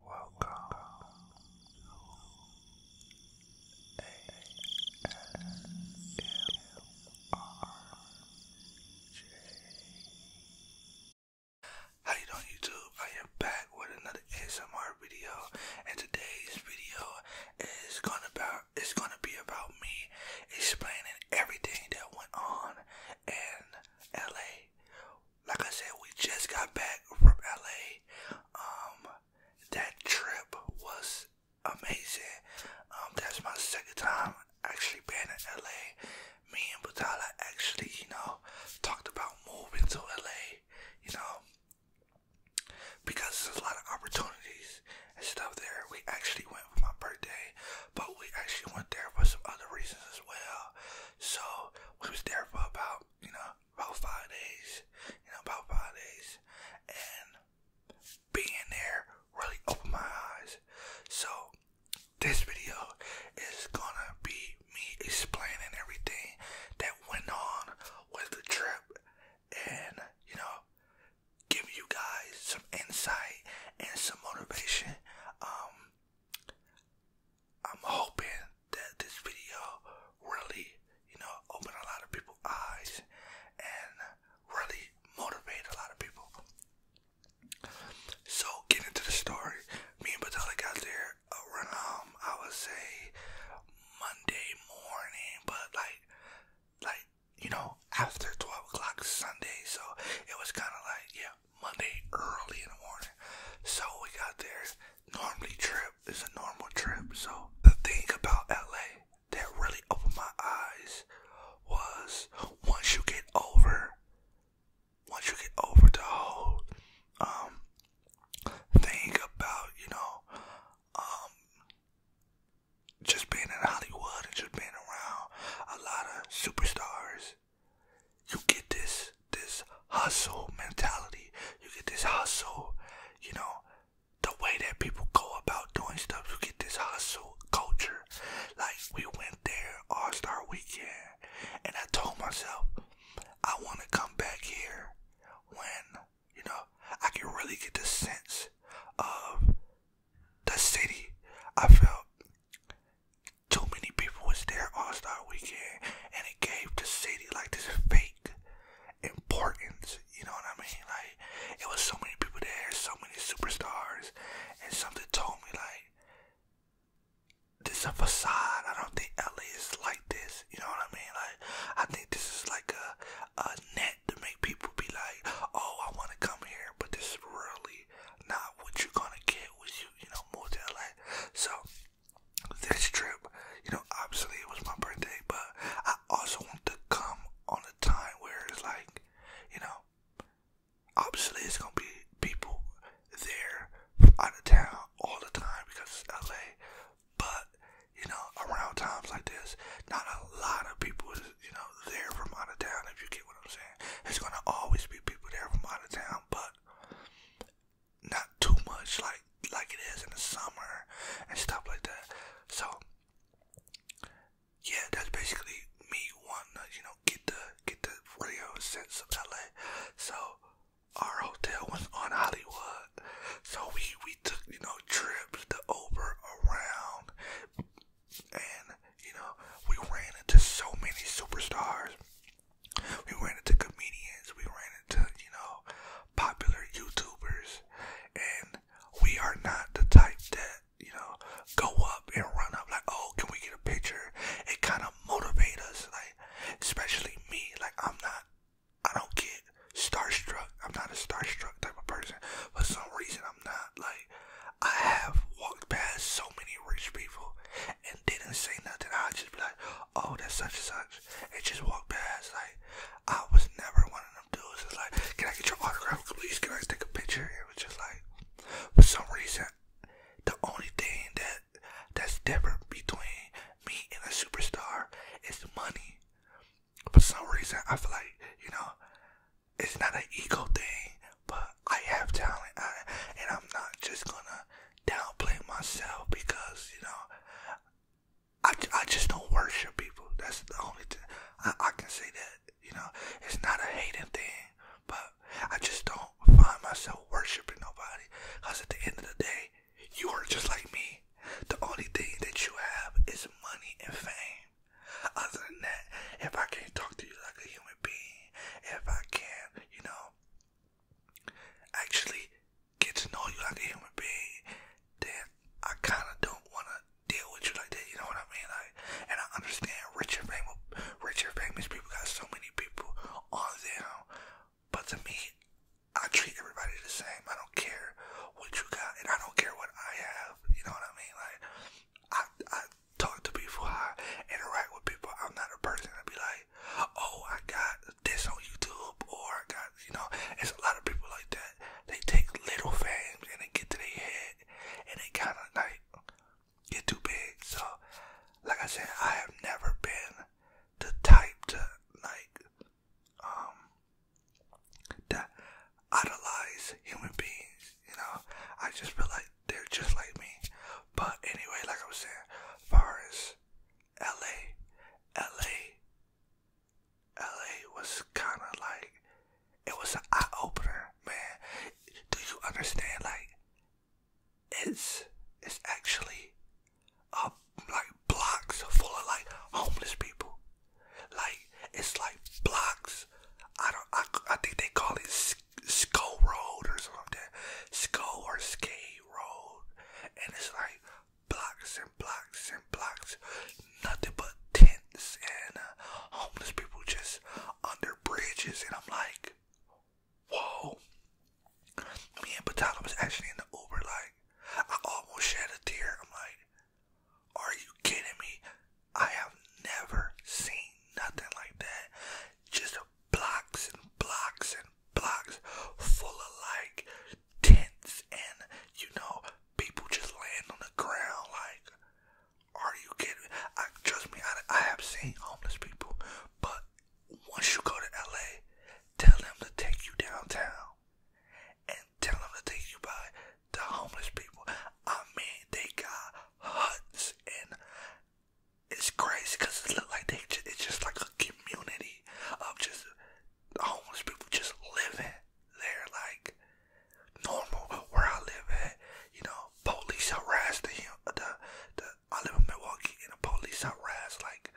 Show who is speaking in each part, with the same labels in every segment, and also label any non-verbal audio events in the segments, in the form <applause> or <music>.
Speaker 1: How you doing YouTube? I am back with another ASMR video and today's video is going about it's gonna be about me explaining everything that went on in LA like I said, we just got back from LA. Um, that trip was amazing. Um, that's my second time actually being in LA. Me and Batala actually, you know, talked about moving to LA, you know, because there's a lot of opportunities and stuff there. We actually went for my birthday, but we actually went there for some other reasons as well. So we was there for about, you know, about five days, you know, about five days, and being there really opened my eyes. So, this video is gonna be me explaining everything that went on with the trip and, you know, giving you guys some insight and some motivation. Um, I'm hoping that this video really, you know, open a lot of people's eyes and really motivate a lot of people. So getting into the story, me and Batella got there around um, I would say Monday morning, but like like you know after twelve o'clock Sunday, so it was kind of like yeah Monday early in the morning. So we got there normally trip is a normal trip. So the thing about LA that really opened my eyes was once you get over, once you get over the whole um, thing about you know um just being in Hollywood and just being around a lot of superstars you get this this hustle mentality. You get this hustle, you know, the way that people go about doing stuff. You get this hustle culture. Like we went there All Star Weekend, and I told myself I want to come back here when you know I can really get the sense of the city. I felt. Too many people was there All Star Weekend, and and it gave the city like this fake importance. You know what I mean? Like it was so many people there, so many superstars, and something told me like this is a facade. I don't think LA is like this. You know what I mean? Like I think this is like a a net to make people be like, oh, I want to come here, but this is really not what you're gonna get with you. You know, more to LA. So this trip, you know, obviously it was my birthday, but I also want to come on a time where it's like, you know, obviously it's gonna be people there out of town all the time because it's LA, but you know, around times like this, not a lot of people you know, there from out of town, if you get what I'm saying. There's gonna always be people there from out of town, but not too much like like it is in the summer and stuff like that. So yeah, that's basically me wanting you know, get the get the radio sense of LA. So our hotel was on Hollywood. So we, we took, you know, trips to over around and you know, we ran into so many superstars we ran into comedians, we ran into, you know, popular YouTubers, and we are not the type that, you know, go up and run up like, oh, can we get a picture? It kind of motivates us, like, especially me, like, I'm not, I don't get starstruck. I'm not a starstruck type of person. For some reason, I'm not, like, I have walked past so many rich people and didn't say nothing. I just be like, oh, that's such and such. It just walked past. Like I was never one of them dudes. like, can I get your autograph, please? Can I take a picture? It was just like, for some reason, the only thing that that's different between me and a superstar is money. For some reason, I feel like you know, it's not an ego thing, but I have talent, and I'm not just gonna downplay myself because you know I, I just don't worship people. That's the only thing I, I can say that you know it's not a hating thing, but I just don't find myself worshiping nobody. Cause at the end of the day, you are just like me. The only thing that you have is money and fame. Other than that, if I can't talk to you like a human being, if I can't, you know, actually get to know you like a human being, then I kind of don't want to deal with you like that. You know what I mean? Like, and I understand rich and famous, rich and famous people got so many people on them, but to me, I treat everybody the same. I don't care what you got, and I don't care what I have. You know what I mean? Like, I I talk to people, I interact with people. I'm not a person to be like, oh, I got this on YouTube or got you know, it's a lot of people like that. They take little fans and they get to their head and they kinda like get too big. So like I said, I have never been the type to like um that idolize human beings, you know. I just feel like they're just like me. But anyway, like I was saying, far as LA, was kind of like, it was an eye opener, man. Do you understand? Like, it's, it's actually, uh, like blocks full of like homeless people. Like, it's like blocks. I don't, I, I think they call it Skull Road or something. Skull or Skate Road. And it's like blocks and blocks and blocks, nothing but tents and uh, homeless people just under bridges. And I'm like, whoa. Me and Patala was actually in the Uber, like, I almost shed a tear. I'm like, are you kidding me? I have never seen nothing like that. Just blocks and blocks fucking blocks full of like tents and you know people just laying on the ground like are you kidding me? I trust me I, I have seen homeless people but once you go to LA tell them to take you downtown and tell them to take you by the homeless people I mean they got huts and it's crazy because it look like they it's just like a community city of just homeless people just living there like normal where I live at. You know, police harassed him. The, the I live in Milwaukee and the police harassed like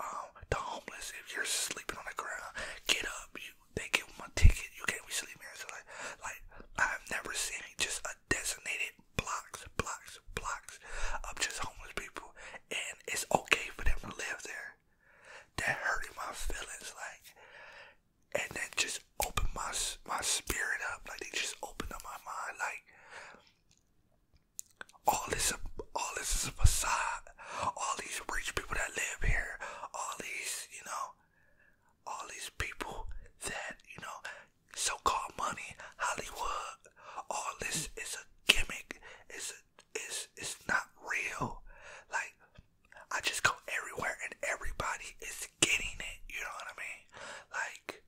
Speaker 1: um the homeless. If you're sleeping on the ground, get up. You they give them a ticket. You can't be sleeping here. So like like I've never seen just a designated blocks, blocks, blocks of just homeless people and it's okay for them to live there. That hurting my feelings, like, and then just open my my spirit up. Like they just open up my mind, like all this, all this is a facade. All these rich people that live here, all these, you know, all these people that you know, so-called money, Hollywood. All this is a gimmick. Is. a it's it's not real. Like I just go everywhere and everybody is getting it. You know what I mean? Like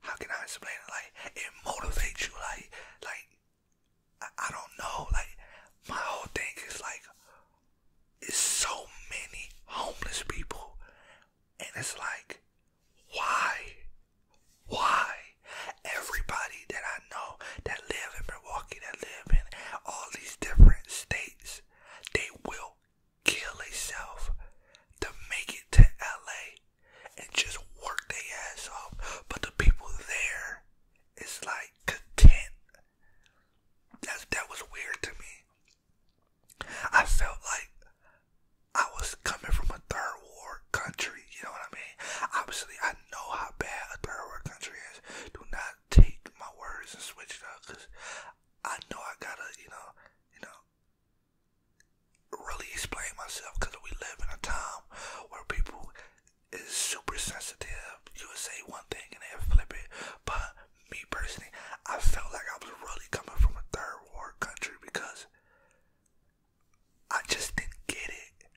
Speaker 1: how can I explain it? Like it motivates you. Like like I, I don't know. Like my whole thing is like it's so many homeless people, and it's like why? Why? Everybody that I know that live in Milwaukee, that live in all these different states, they will kill themselves to make it to LA and just work their ass off. But the people there is like content. That's, that was weird to me. I felt like I was coming from a third world country, you know what I mean? Obviously, I know how bad a third world country is. Do not take my words and switch it up, cause I know I gotta, you know, you know, really explain myself, cause we live in a time where people is super sensitive. You would say one thing and they flip it, but me personally, I felt like I was really coming from a third world country because I just didn't get it.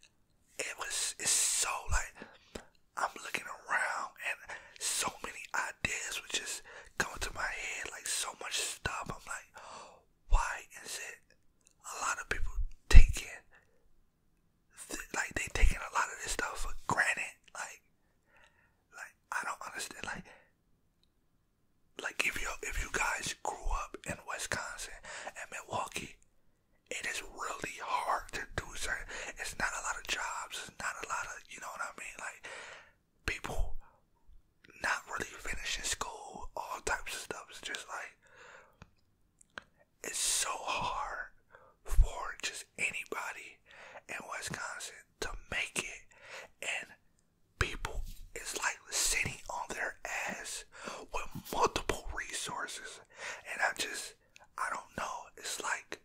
Speaker 1: It was it's so like I'm looking around and so many ideas were just coming to my head, like so much stuff. I'm like, why is it a lot of people taking th like they taking a lot of this stuff for granted? Like, like I don't understand. Like, like if you if you guys grew up in Wisconsin and Milwaukee, it is really hard to do certain. It's not a lot of jobs. not a lot of you know what I mean. Like people not really finishing school, all types of stuff. It's just like it's so hard for just anybody in Wisconsin to make it and people is like sitting on their ass with multiple resources. And I just, I don't know. It's like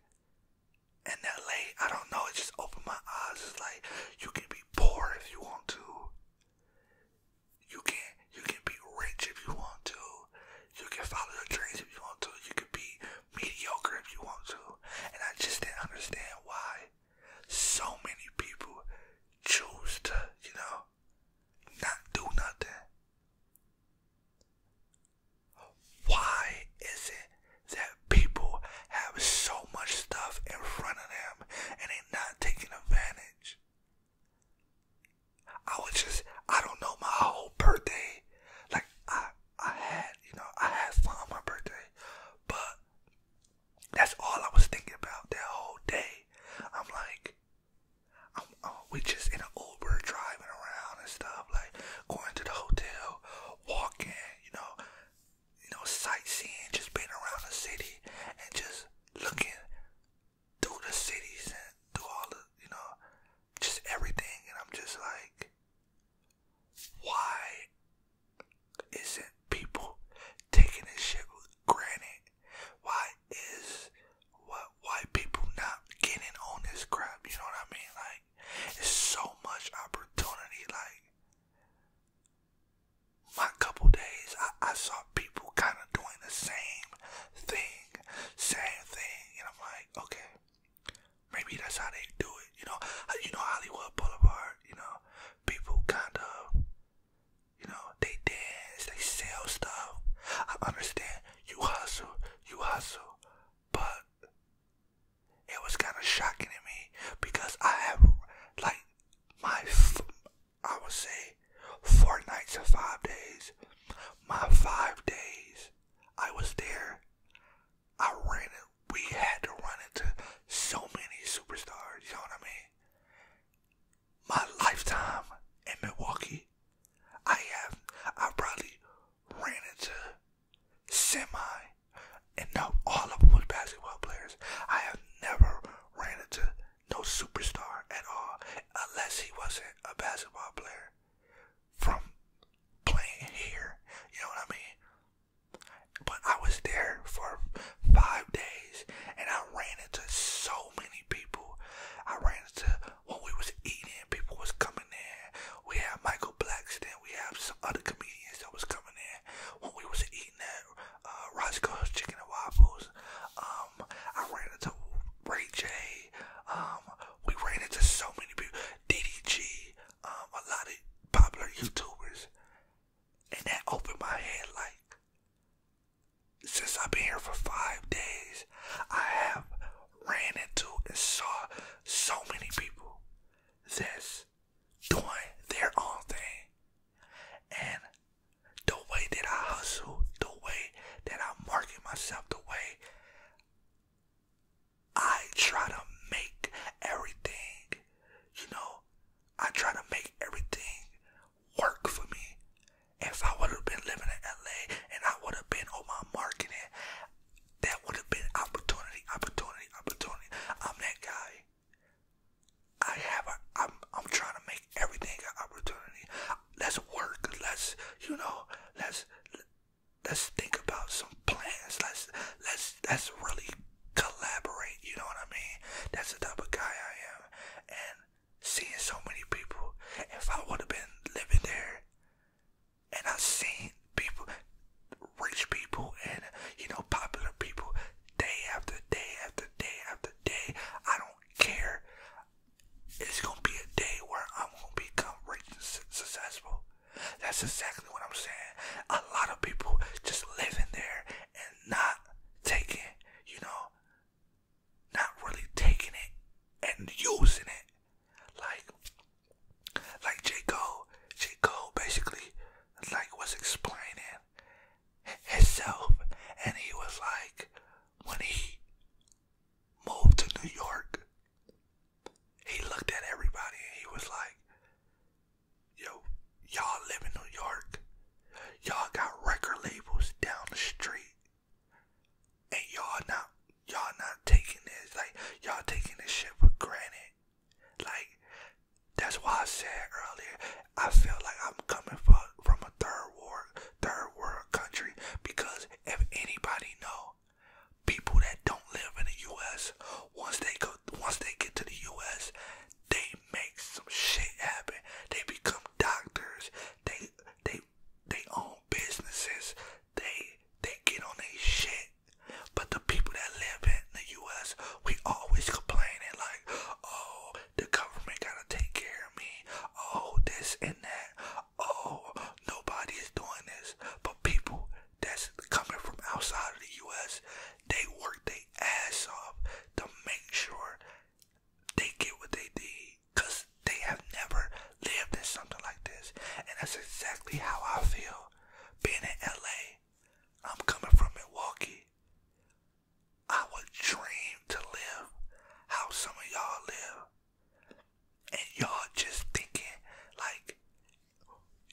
Speaker 1: in LA, I don't know. It just opened my eyes. It's like you can be poor if you want to. You can you can be rich if you want to. You can follow your dreams if you want to. You can be mediocre if you want to. And I just didn't understand why so many people choose to, you know, not do nothing. Why is it that people have so much stuff in front of them and they are not taking advantage? I was just, I don't know, my whole birthday, like I, I had, you know, I had fun on my birthday, but that's all I was thinking about that whole day. I'm like, uh, we just in an Uber driving around and stuff, like going to the hotel, walking, you know, you know, sightseeing, just being around the city and just looking through the cities and through all the, you know, just everything. And I'm just like, why isn't people taking this shit with granted? Why is what white people not getting on this crap? You know what I mean? Like, it's so much opportunity. Like, my couple days, I, I saw people kind of doing the same thing, same thing, and I'm like, okay, maybe that's how they do it. You know, you know Hollywood Boulevard. You know, people kind of you know, they dance, they sell stuff. I understand you hustle, you hustle, but it was kind of shocking to me because I have like my, I would say, four nights or five days. My five days, I was there. I ran We had to run into so many superstars. You know what I mean? my lifetime in Milwaukee, I have I probably ran into semi and now all of them were basketball players. I have never ran into no superstar at all unless he wasn't a basketball player from playing here. You know what I mean? But I was there for five days. And I ran into so many people. I ran into when we was eating, people was coming in. We had Michael Black Blackston. We had some other comedians that was coming in. When we was eating at uh, Roscoe's Chicken and Waffles, um, I ran into Ray J. Um, we ran into so many people. DDG, um, a lot of popular YouTubers. And that opened my head like, since I've been here for five days, I have ran into and saw so many people that's doing their own thing. And the way that I hustle, the way that I market myself, the way I try to make everything, you know, I try to make everything work for me. If I would have been living in LA and I would have been on my marketing, that would have been opportunity, opportunity, opportunity. I'm that guy. I have a, I'm, I'm trying to make everything opportunity. Let's work. Let's, you know, let's, let's think about some plans. Let's, let's, let's really collaborate. You know what I mean? That's the type of guy I am. And seeing so many people. If I would have been living there and I have seen people, rich people and, you know, popular people day after day after day after day, I don't care. It's going to be a day where I'm going to become rich and successful. That's exactly what I'm saying. A lot of people just living there and not taking, you know, not really taking it and using it. Like like J. Cole. J. Cole basically like was explaining himself and he was like when he moved to New York he looked at everybody and he was like, Yo, Y'all live in New York. Y'all got record labels down the street. And y'all not y'all not taking this like y'all taking this shit for granted. Like that's why I said earlier, I feel like I'm coming from from a third world third world country because if anybody know, people that don't live in the U.S. once they go once they get to the U.S. they make some shit happen. They become doctors. They they they own businesses. They they get on their shit. But the people that live in the U.S. we always complaining like, oh, the government gotta take care of me. Oh, this and that. Oh, nobody is doing this. But people that's coming from outside of the U.S. they work their ass off to make sure they get what they need because they have never lived in something like this. And that's exactly how I feel being in LA. I'm coming from Milwaukee. I would dream to live how some of y'all live. And y'all just thinking like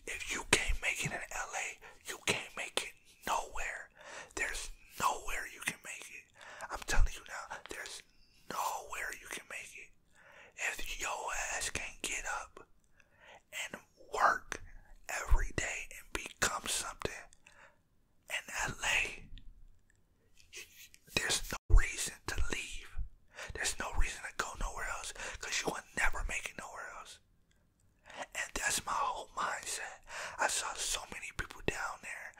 Speaker 1: if you can't make it in LA, you can't make it nowhere. There's nowhere you can make it. I'm telling you now, there's nowhere you can make it. If your ass can't get up and work every day and become something in LA, there's no reason to leave. There's no reason to go nowhere else because you will never make it nowhere else. And that's my whole mindset. I saw so many people down there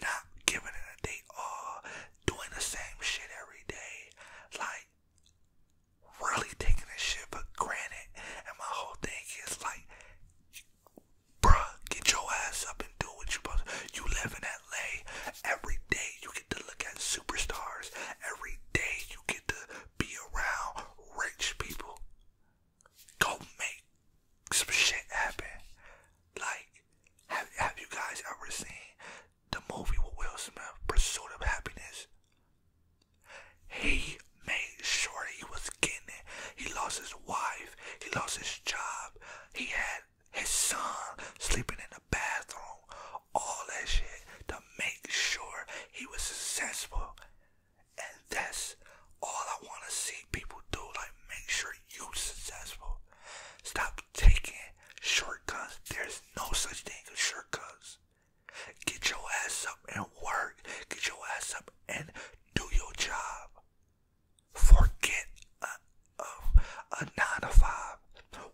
Speaker 1: not giving it a day, all doing the same shit every day. Like, really taking this shit for granted. And my whole thing is like, bruh, get your ass up and do what you're supposed to. You live in LA. Every day you get to look at superstars. Every day you get to be around rich people go make some shit happen. Like, have, have you guys ever seen the movie with Will Smith, Pursuit of Happiness? He made sure he was getting it. He lost his wife, he lost his job, he had his son sleeping in the bathroom, all that shit to make sure he was successful. And that's all I want to see people do. Like, make sure you are successful. Stop taking shortcuts. There's no such thing as shortcuts. Get your ass up and work. Get your ass up and do your job. Forget a, a, a nine to five.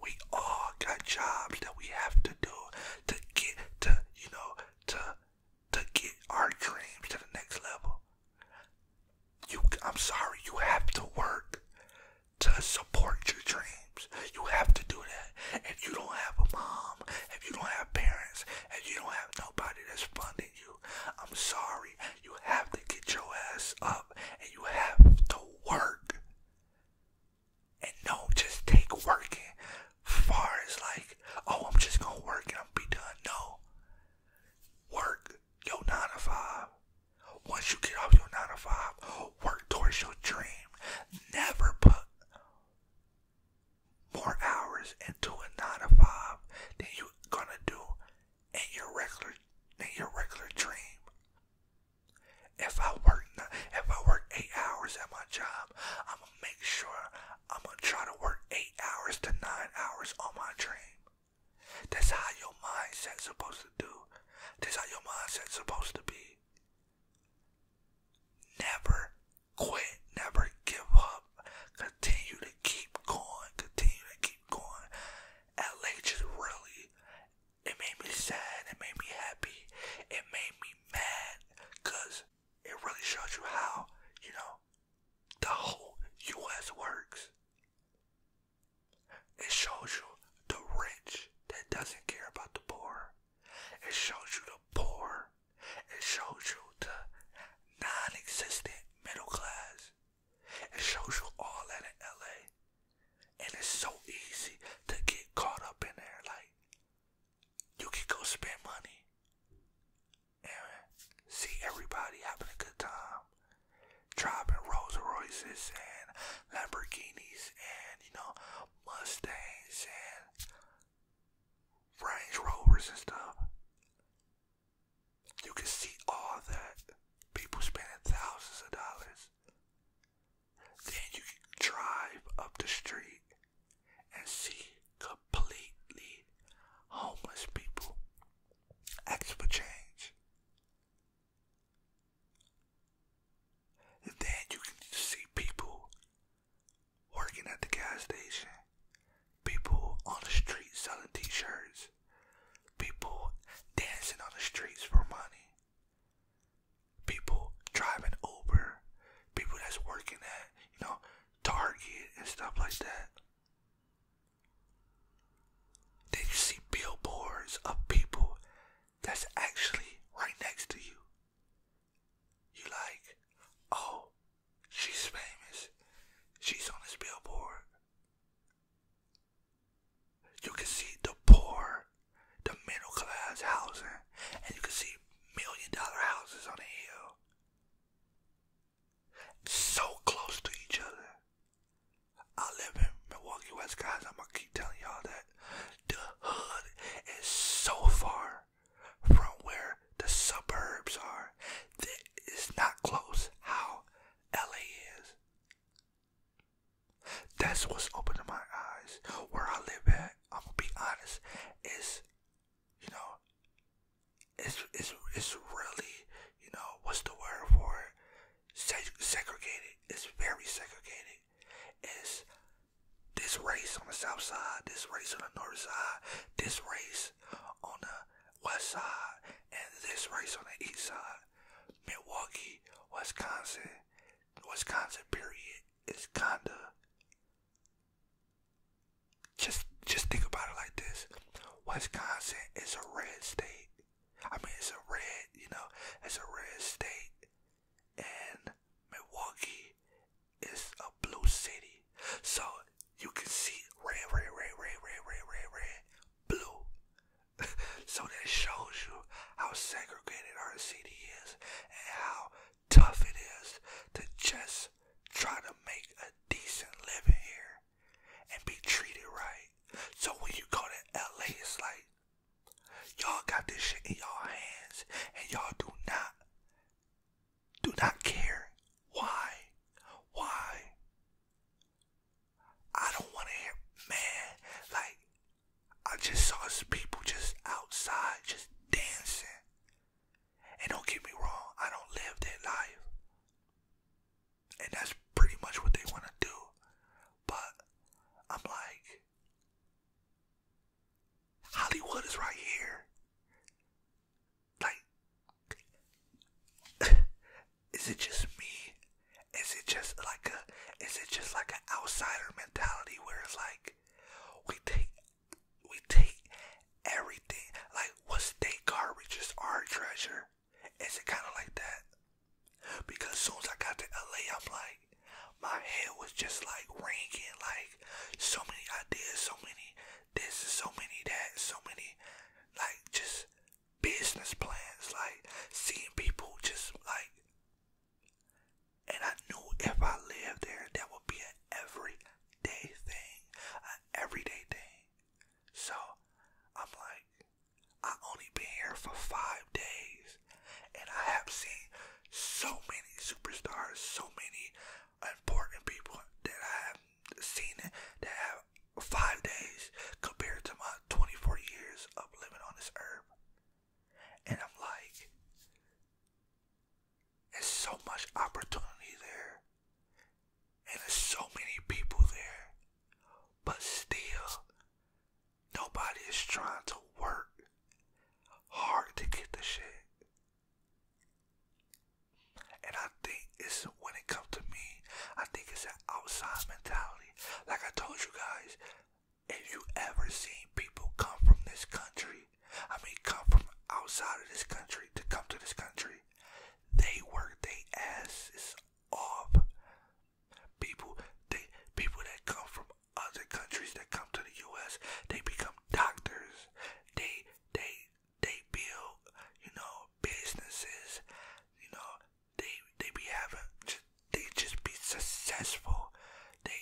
Speaker 1: We all got jobs that we have to do to get to, you know, to to get our dreams to the next level. You, I'm sorry, you have to work to support your dreams. You have to do that. If you don't have a mom, if you don't have parents, if you don't have nobody that's funding you, I'm sorry, you have to get your ass up and you have to work. And don't just take working far as like, oh, I'm just gonna work and I'm be done. No work your 9 to 5. Once you get off your 9 to 5, work towards your dream. Never put more hours into a 9 to 5 than you're going to do in your regular in your regular dream. If I work if I work 8 hours at my job, I'm going to make sure I'm gonna try to work eight hours to nine hours on my dream. That's how your mindset's supposed to do. That's how your mindset's supposed to be. Never quit, never give up. Continue to keep going, continue to keep going. LA just really, it made me sad, it made me happy, it made me mad, because it really showed you how, you know, the whole U.S. works. It shows you the rich that doesn't care about the poor. It shows you the poor. It shows you the non-existent middle class. It shows you all that in L.A. And it's so easy to get caught up in there. Like, you can go spend money and see everybody having a good time. Driving Rolls Royces and Lamborghinis and, you know, Mustangs and Range Rovers and stuff. You can see all that. People spending thousands of dollars. Then you can drive up the street and see completely homeless people ask for change. And then you can see people working at the gas station, people on the street selling t-shirts, people dancing on the streets for money, people driving Uber, people that's working at, you know, Target and stuff like that. Did you see billboards of people that's actually right next to you? You like, oh, she's famous. She's on this billboard. You can see the poor, the middle class housing, and you can see million dollar houses on a hill so close to each other. I live in Milwaukee West, guys. I'm gonna keep telling y'all that the hood is so far from where the suburbs are it's not close how LA is. That's what's opened my eyes. Where I live at, I'm gonna be honest, is you know, it's it's it's really you know what's the word for it? segregated. It's very segregated. It's this race on the south side, this race on the north side, this race on the west side, and this race on the east side. Milwaukee, Wisconsin, Wisconsin period is kinda just just think about it like this. Wisconsin is a red state. I mean it's a red, you know, it's a red state. And Milwaukee is a blue city. So you can see red, red, red, red, red, red, red, red, blue. <laughs> so that shows you how segregated our city is and how tough it is to just try to make a decent living here and be treated right. So when you go to LA, it's like y'all got this shit in y'all hands and y'all do not do not care. Why? Why? I don't wanna hear man, like I just saw some people just outside just dancing. And don't get me wrong, I don't live that life. And that's pretty much what they want to do. But I'm like, Hollywood is right here. Like, <laughs> is it just me? Is it just like a, is it just like an outsider mentality where it's like, we take, we take everything. Like, what state garbage is our treasure? Is it kind of like that? Because soon as I got to LA, I'm like, my head was just like ringing, like so many ideas, so many this, so many that, so many like just business plans, like seeing people just like. And I knew if I lived there, that would be an everyday thing, an everyday thing. So I'm like, I only been here for five days, and I have seen so many superstars, so many important people that I have seen it. that have five days compared to my 24 years of living on this earth. And I'm like, there's so much opportunity there. And there's so many people there. But still, nobody is trying to work hard to get the shit. And I think it's when it comes to me, I think it's an outsized mentality. Like I told you guys, if you ever seen people come from this country, I mean come from outside of this country to come to this country, they work their asses off. People, they people that come from other countries that come to the U.S. They become doctors. They they they build, you know, businesses. You know, they they be having, just, they just be successful. They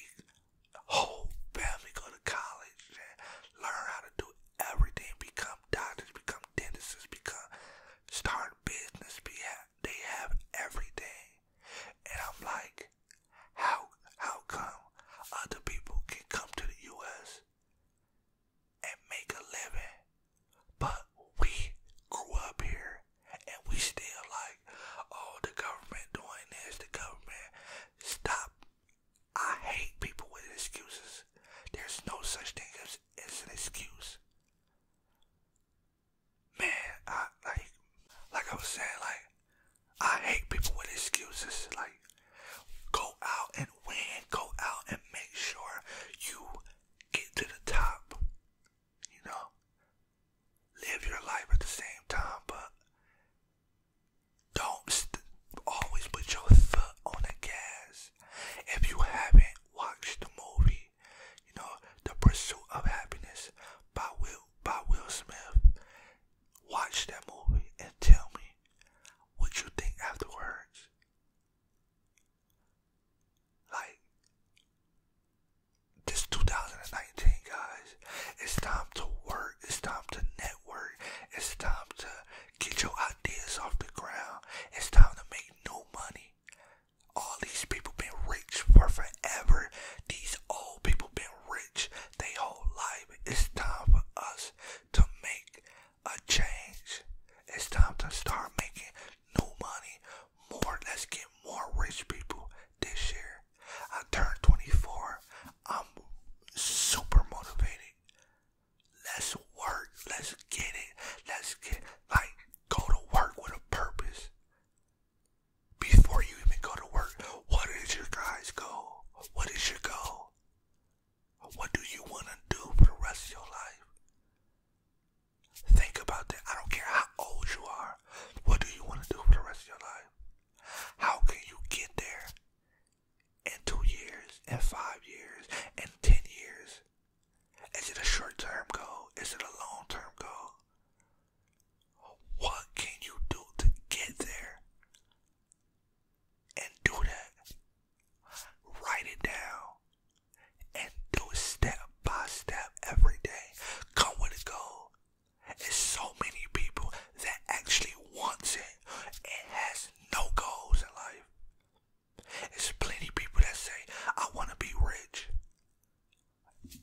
Speaker 1: whole family go to college and learn how to do everything, become become doctors, become dentists, become start business. Be they have everything, and I'm like, how how come other people can come to the U.S. and make a living, but we grew up here and we still like, oh, the government doing this, the government stop I hate people with excuses. There's no such thing as, an excuse. Man, like like I was saying, like I hate people with excuses. Like go out and win, go out and make sure you get to the top. You know? Live your life at the same time, but don't always put your foot on the gas. If you haven't watched the movie, you know, The Pursuit of Happiness by Will by Will Smith, watch that movie and tell me what you think afterwards. Like this 2019 guys, it's time to work, it's time to network, it's time to Get your ideas off the ground. It's time to make new money. All these people been rich for forever. These old people been rich their whole life. It's time for us to make a change. It's time to start making new money. More, let's get more rich people this year. I turned 24. I'm super motivating. Let's work. Let's get it. Let's get like go to work with a purpose. Before you even go to work, what is your guys' goal? What is your goal? What do you want to do for the rest of your life? Think about that. I don't care how old you are. What do you want to do for the rest of your life? How can you get there? and two years, and five years, and ten years? Is it a short term goal? Is it a long term goal? What can you do to get there? And do that. Write it down. And do it step by step every day. Come with a goal. There's so many people that actually wants it and has no goals in life. There's plenty people that say, I want to be rich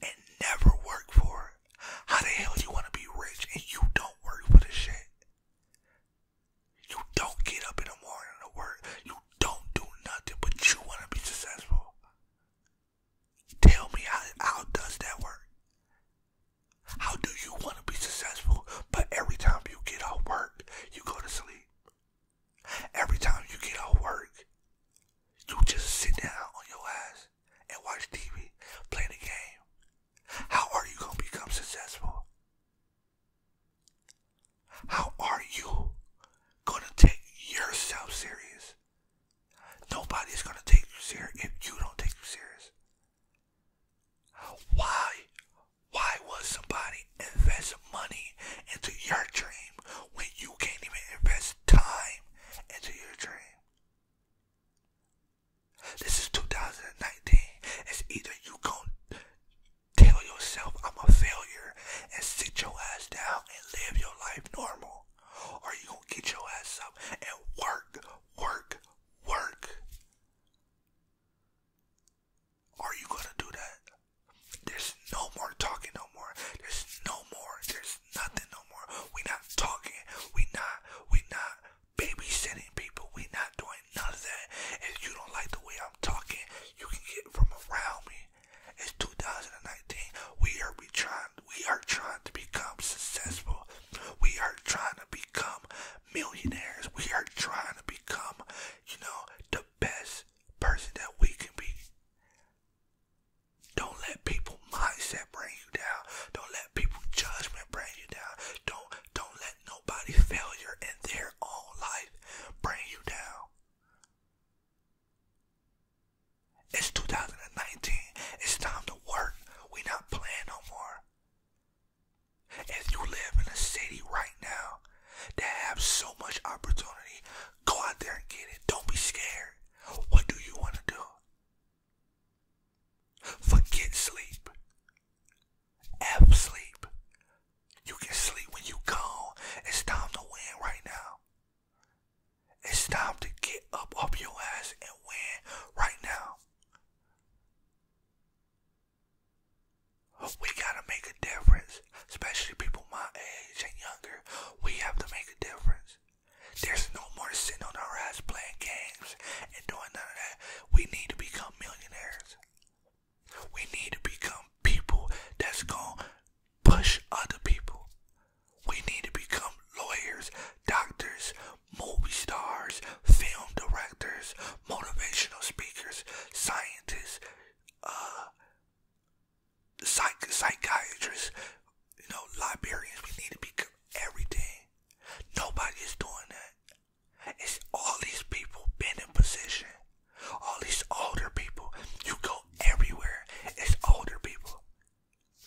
Speaker 1: and never work for it. How the hell do you want to be rich and you don't work for the shit? You don't get up in the morning to work. You don't do nothing, but you want to be successful. Tell me how, how does that work? How do you want to be successful, but every time you get off work, you go to sleep? Every time you get off work, you just sit down on your ass and watch TV, play the game. How are you going to become successful? How are you going to take yourself serious? Nobody's going to take you serious if you don't take you serious. Why? Why would somebody invest money into your dream when you can't even invest time into your dream? This is 2019. It's either you gonna tell yourself I'm a failure and sit your ass down and live your life normal, or you gonna get your ass up and work, work, work. Are you gonna do that? There's no more talking no more. There's no more. There's nothing no more. We not talking. We not we not babysitting people. We not doing none of that. If you don't like the way I'm talking, you can get from around me. It's 2019. We are we trying we are trying to become successful. We are trying to become millionaires. We are trying to become you know, the best person that we can be. Don't let people mindset bring you down. Don't let people judgment bring you down. Don't don't let nobody's failure in their own life bring you down. It's 2019. It's time to work. We not playing no more. If you live in a city right now that have so much opportunity, go out there and get it. Don't be scared. What do you want to do? Forget sleep. F You can sleep when you go. It's time to win right now. It's time to get up off your ass and win right now. We gotta make a difference, especially people my age and younger. We have to make a difference. There's no more sitting on our ass playing games and doing none of that. We need to become millionaires. We need to become people that's gonna push other people. We need to become lawyers, doctors, movie stars, film directors, motivational speakers, scientists, uh, psych psychiatrists, you know, librarians. We need to become everything. Nobody is doing that. It's all these people been in position. All these older people. You go everywhere. It's older people.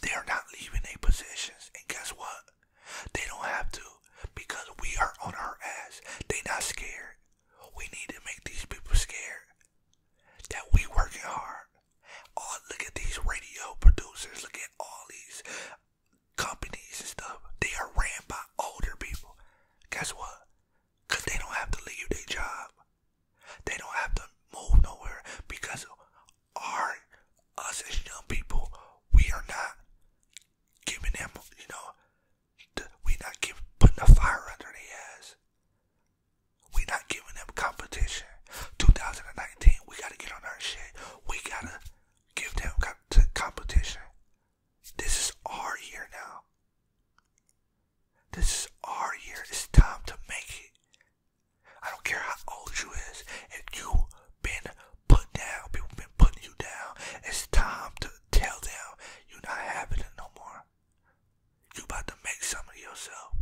Speaker 1: They are not leaving their positions. And guess what? They don't have to because we are on our ass. They not scared. We need to make these people scared that we working hard. All oh, look at these radio producers, look at all these companies and stuff. They are ran by older people. Guess what? they don't have to leave their job. They don't have to move nowhere because our us as young people, we are not giving them, you know, we not give putting a fire under their We not giving them competition. 2019, we gotta get on our shit. We gotta give them competition. This is our year now. This is our year. It's time to make it. I don't care how old you is. If you been put down, people been putting you down. It's time to tell them you're not happy no more. You about to make some of yourself.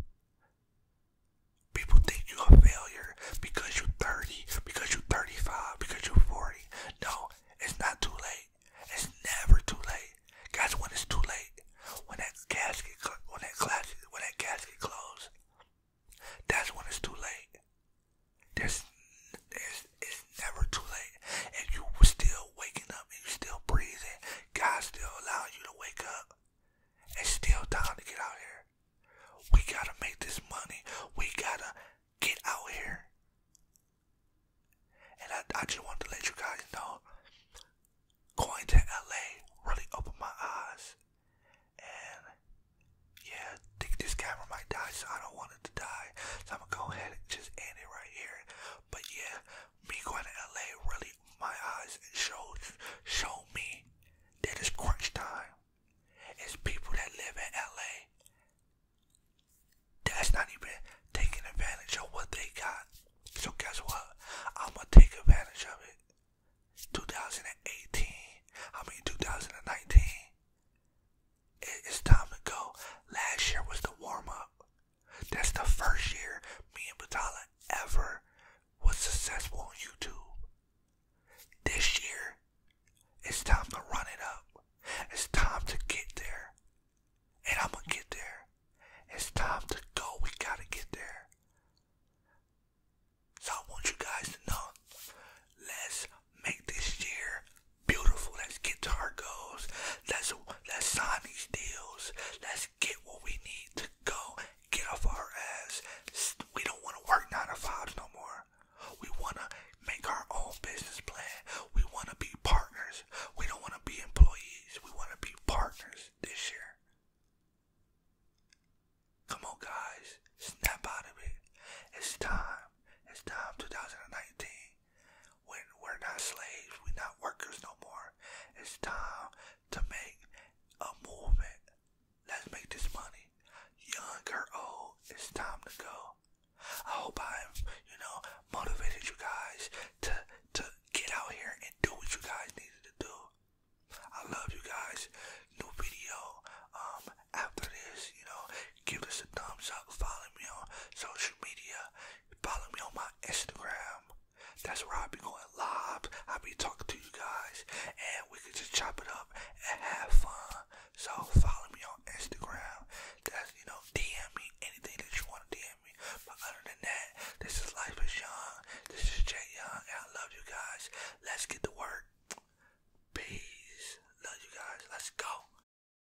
Speaker 1: People think you're a failure because you're 30, because you're 35, because you're 40. No, it's not too late. It's never too late. Guys, when it's too late, when that casket, when that, classic, when that casket closes, that's when it's too late. There's, there's, it's never too late. And you were still waking up and you still breathing. God still allowing you to wake up. It's still time to get out here. We gotta make this money. We gotta get out here. And I, I just want to let you guys know going to LA really opened my eyes. And yeah, think this camera might die, so I don't want to die. So I'm gonna go ahead and just end it right here. But yeah, me going to LA really my eyes showed show me that it's crunch time. It's people that live in LA that's not even taking advantage of what they got. So guess what? I'm gonna take advantage of it. 2018, I mean 2019. It's time to go. Last year was the warm up. That's the first year me and Batala ever was successful on YouTube. This year, it's time to run it up. It's time to get there. And I'm gonna get there. It's time to go. We gotta get there. So I want you guys to know, let's make this year beautiful. Let's get to our goals. Let's let's sign these deals. Let's get what we need to go. Get off our ass. We don't want to work nine to fives no more. We want to make our own business plan. We want to be partners. We don't want to be employees. We want to be partners this year. Come on, guys. Snap out of it. It's time. It's time. 2019. When we're not slaves, we're not workers no more. It's time to make a movement. Let's make this money. Young or old, it's time to go. I hope i am you know, motivated you guys to to get out here and do what you guys needed to do. I love you guys. New video um, after this, you know, give us a thumbs up. Follow me on social media. Follow me on my Instagram. That's where I'll be going live. I'll be talking to you guys. And we can just chop it up and have fun. So follow me on Instagram. That's, you know, DM me anything that you want to DM me. But other than that, this is Life is Young. This is Jay Young. I love you guys. Let's get to work. Peace. Love you guys. Let's go.